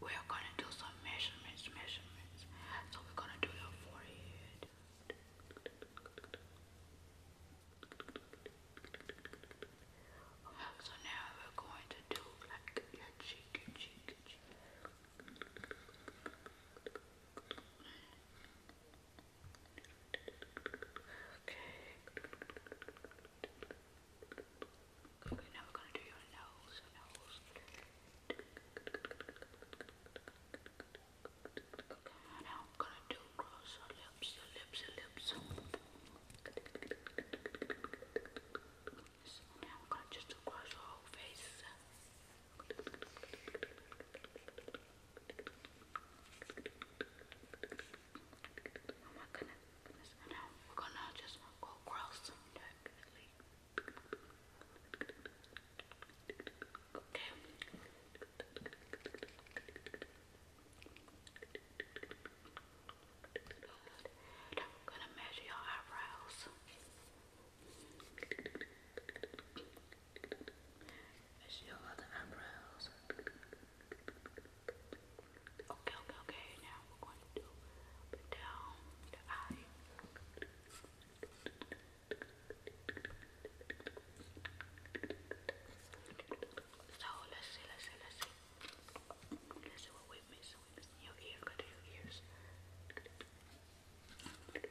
We're gonna do some measurements, measurements. So we're gonna do your forehead. So now we're going to do like your cheek, your cheek, Okay. Okay, now we're gonna do your nose, nose. Okay, now I'm gonna do cross your lips, your lips, your lips. So now I'm gonna just do cross your whole face. Oh my goodness, goodness. And now we're gonna just go gross. Definitely. Okay. Good. I'm gonna measure your eyebrows. Measure your other eyebrows. Good. Okay, okay, okay. Now we're going to put down the eye. So let's see, let's see, let's we miss. We miss your go to your ears. let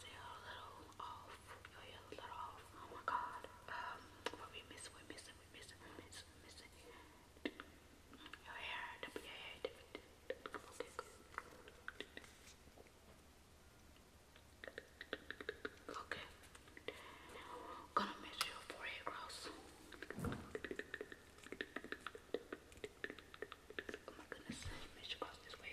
a little off. Oh my god. Um, what we missing? We missing? We missing? We missing? We missing? Your hair. Your hair. Okay, gonna measure your forehead gross. Oh my goodness, measure across this way.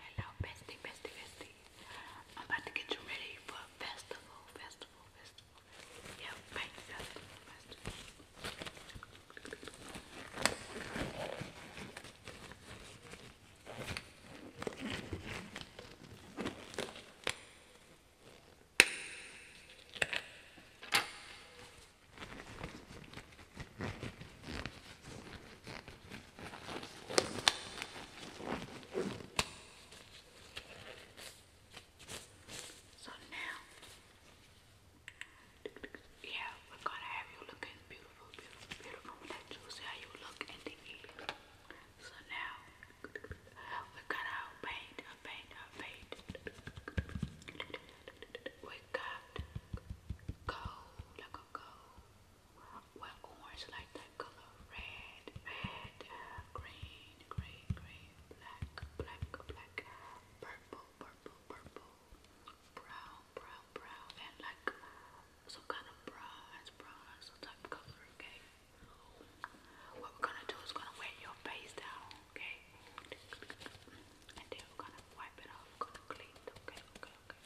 Hello, bestie, bestie, bestie. I'm about to get you ready for festival, festival, festival. Yeah, festival, festival. So now, yeah, we're gonna have you look beautiful, beautiful, beautiful. Let you how you look and then eat. So now, we're to paint, paint, paint got gold, like a gold, well orange like that color, red, red, green, green, green, black, black, black, purple, purple, purple, brown, brown, brown, and like some kind of bronze, bronze, some type of color, okay? What we're gonna do is gonna wear your face down. Okay. And then we're gonna wipe it off, clean Okay, okay, okay.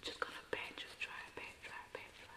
just gonna pat you, dry, pat, dry, pat, dry.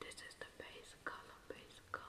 This is the base color, base color.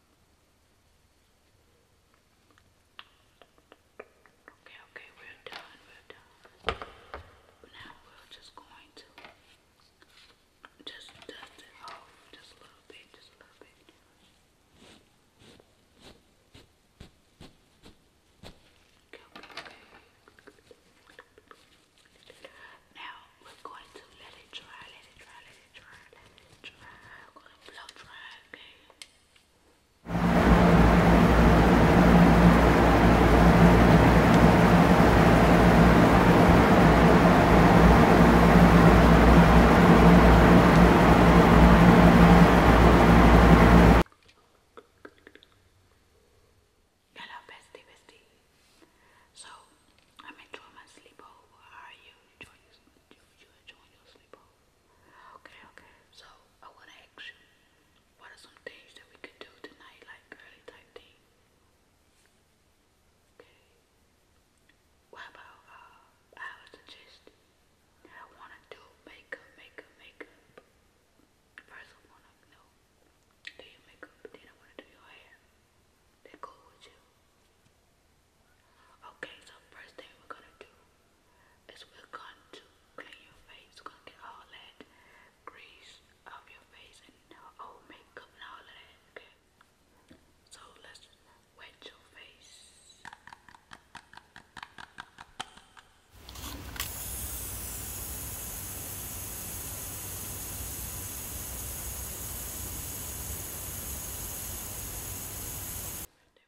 Okay, okay, we're done, we're done. Now we're just going to just dust it off just a little bit, just a little bit. Okay, okay, Now we're going to let it dry, let it dry, let it dry, let it dry. We're going to blow dry, Okay. Hello, bestie, bestie. So, I'm enjoying my sleepover. How are you? Enjoy your, enjoy your sleepover. Okay, okay. So I wanna ask you, what are some things that we could do tonight, like early type thing? Okay. What about uh I would suggest I wanna do makeup, makeup, makeup. First I wanna do your makeup, then I wanna do your hair. That cool with you. Okay, so first thing we're gonna do is we're going to clean your face. gonna get all that grease off your face and all makeup and all of that, So let's wet your face.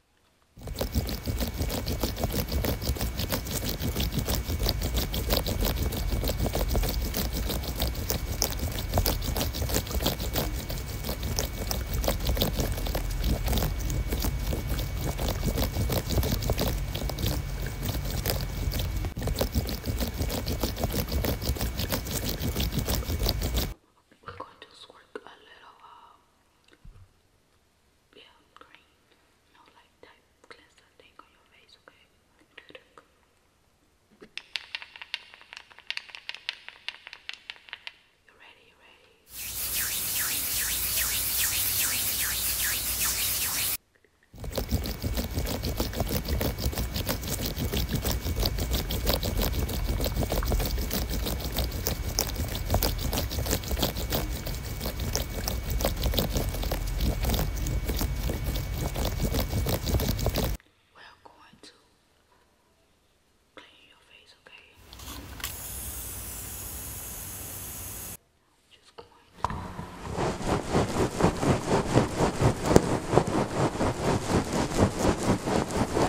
We're going to squirt a little uh, pale green, no light type cleanser thing on your face, okay? You ready? ready? We're going to clean your face, okay? Just going to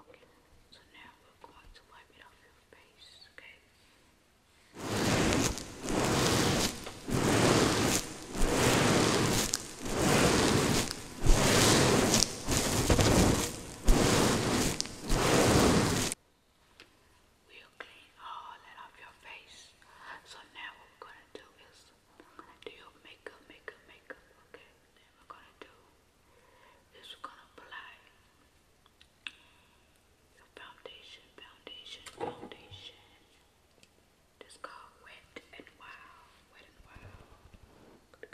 Okay, so now we're going to wipe it off your face, okay? We'll clean all that off your face. So now we're gonna do is do your makeup, makeup, makeup, okay? thing we're gonna do is we're gonna apply the foundation, foundation, foundation. This called Wet and Wild, Wet and Wild.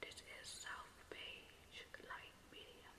This is South Beige Light Medium.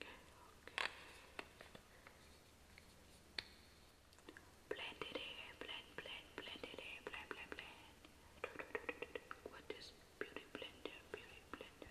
okay. Blend it in, blend, blend, blend it in, blend, blend, blend. Do, do, do, do, do. What is beauty blender? Beauty blender.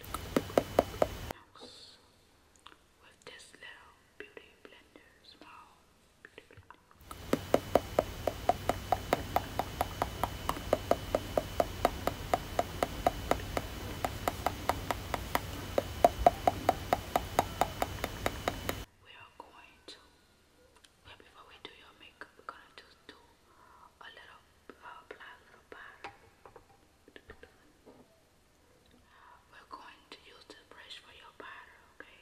Next, with this little beauty blender, small beauty blender. We are going to, before we do your makeup, we're gonna just do a little We're going to use the brush for your powder, Okay.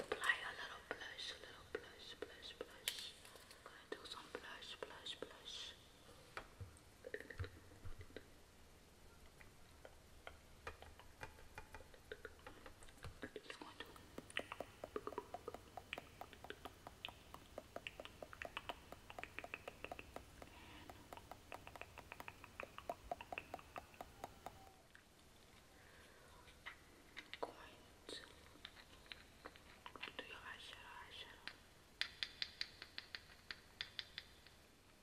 Apply a little blush, a little blush, blush, blush. I'm gonna do some blush, blush, blush. It's going to and going to do your eyeshadow eyeshadow.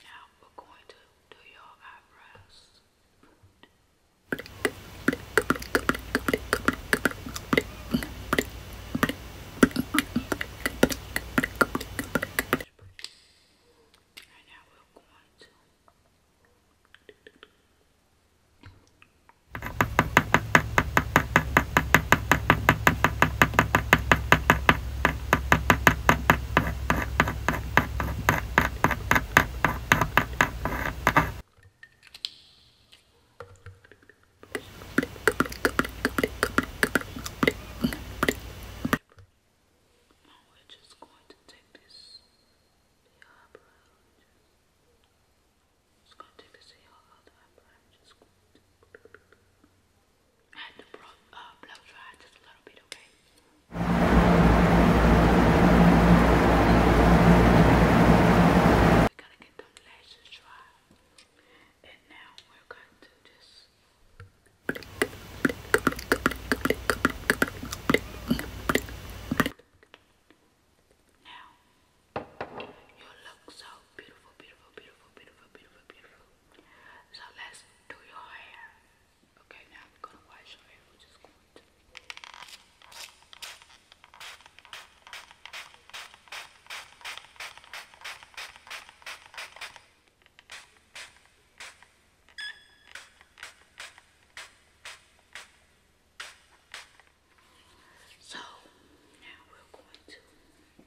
Now we're going to do your eyebrows. And now we're going to now we're just going to take this eyebrow. Just, just going to take this eyebrow. I'm just going to. I had to bro uh, blow dry just a little bit, okay? we to get them lashes dry. And now we're going to just now you look so beautiful, beautiful, beautiful, beautiful, beautiful, beautiful. So let's do your hair. Okay, now we're gonna wash your hair. We're just going to. So now we're going to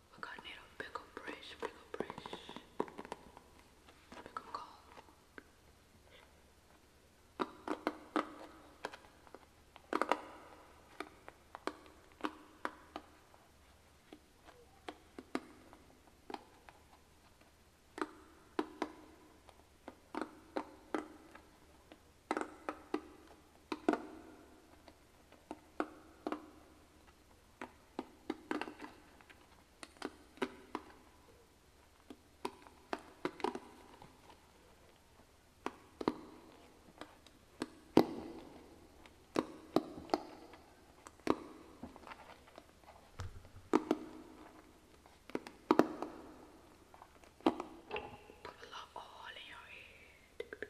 I got need a bigger brush, bigger brush, bigger call. Put a all in your head.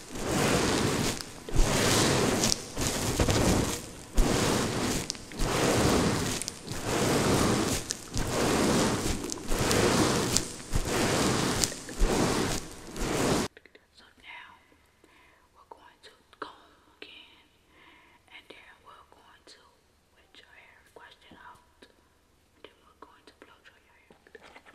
So now we're going to comb again and then we're going to wet your hair, wash it out, and then we're going to blow dry your hair.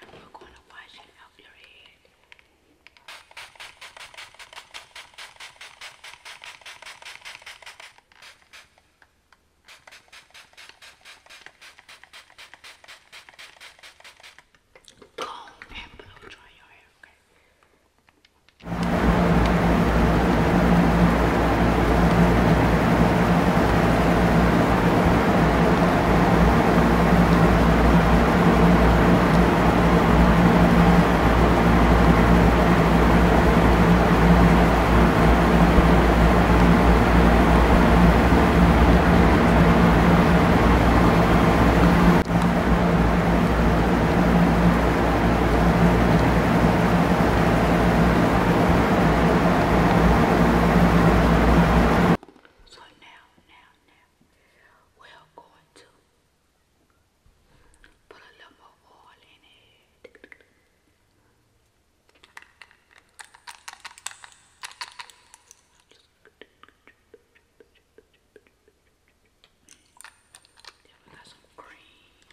and we gonna wash it off your head. Comb and blow dry your hair, okay? So now, now, now, we are going to put a little more oil in it. Just we got some cream.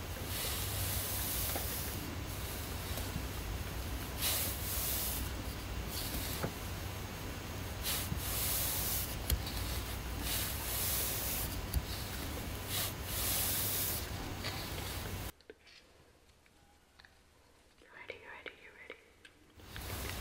You ready? You ready? You ready? Okay.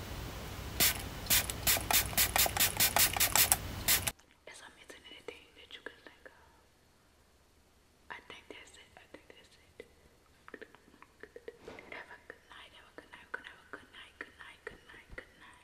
Is i missing anything that you can think of? I think that's it. I think that's it. Have a good night. Have a good night. Good night. Good night. Good night. Good night. Good night.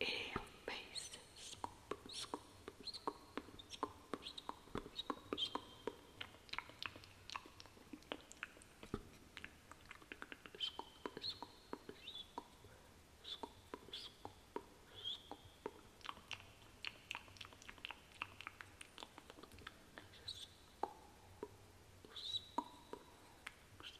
in your face. Scoop, scoop, scoop, scoop, scoop, scoop, scoop. Scoop, scoop, scoop, scoop, scoop, scoop. Just scoop, scoop, scoop,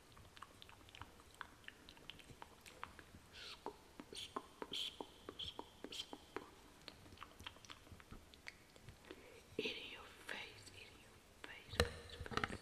Scoop, scoop, scoop, scoop, scoop. It in your face, it in your face, face, face.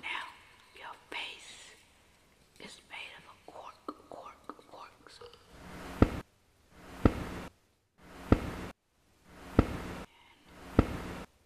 Now, your face is made of cork, cork, cork.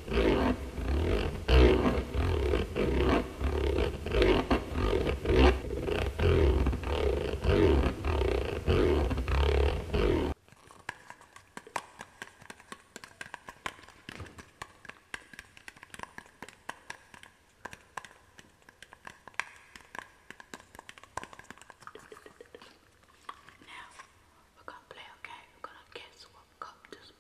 Now we're gonna play okay, we're gonna guess what Coptus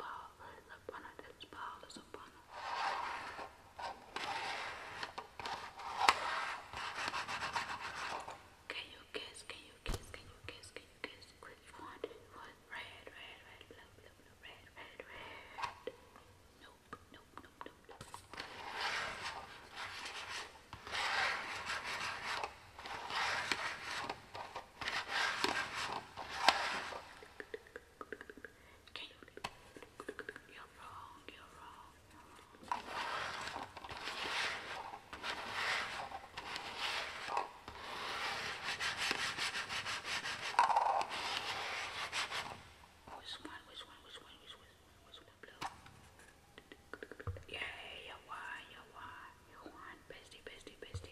Can you kiss? Can you kiss? Can you kiss? Can you kiss? Which one? What? Red, red, red, blue, blue, red, red, red. nope, nope, nope, nope. Okay. You're wrong, you're wrong, you're wrong. Which one, which one, which one, which one, which one blue? Yeah, you won, you won, you won, bestie, bestie, bestie.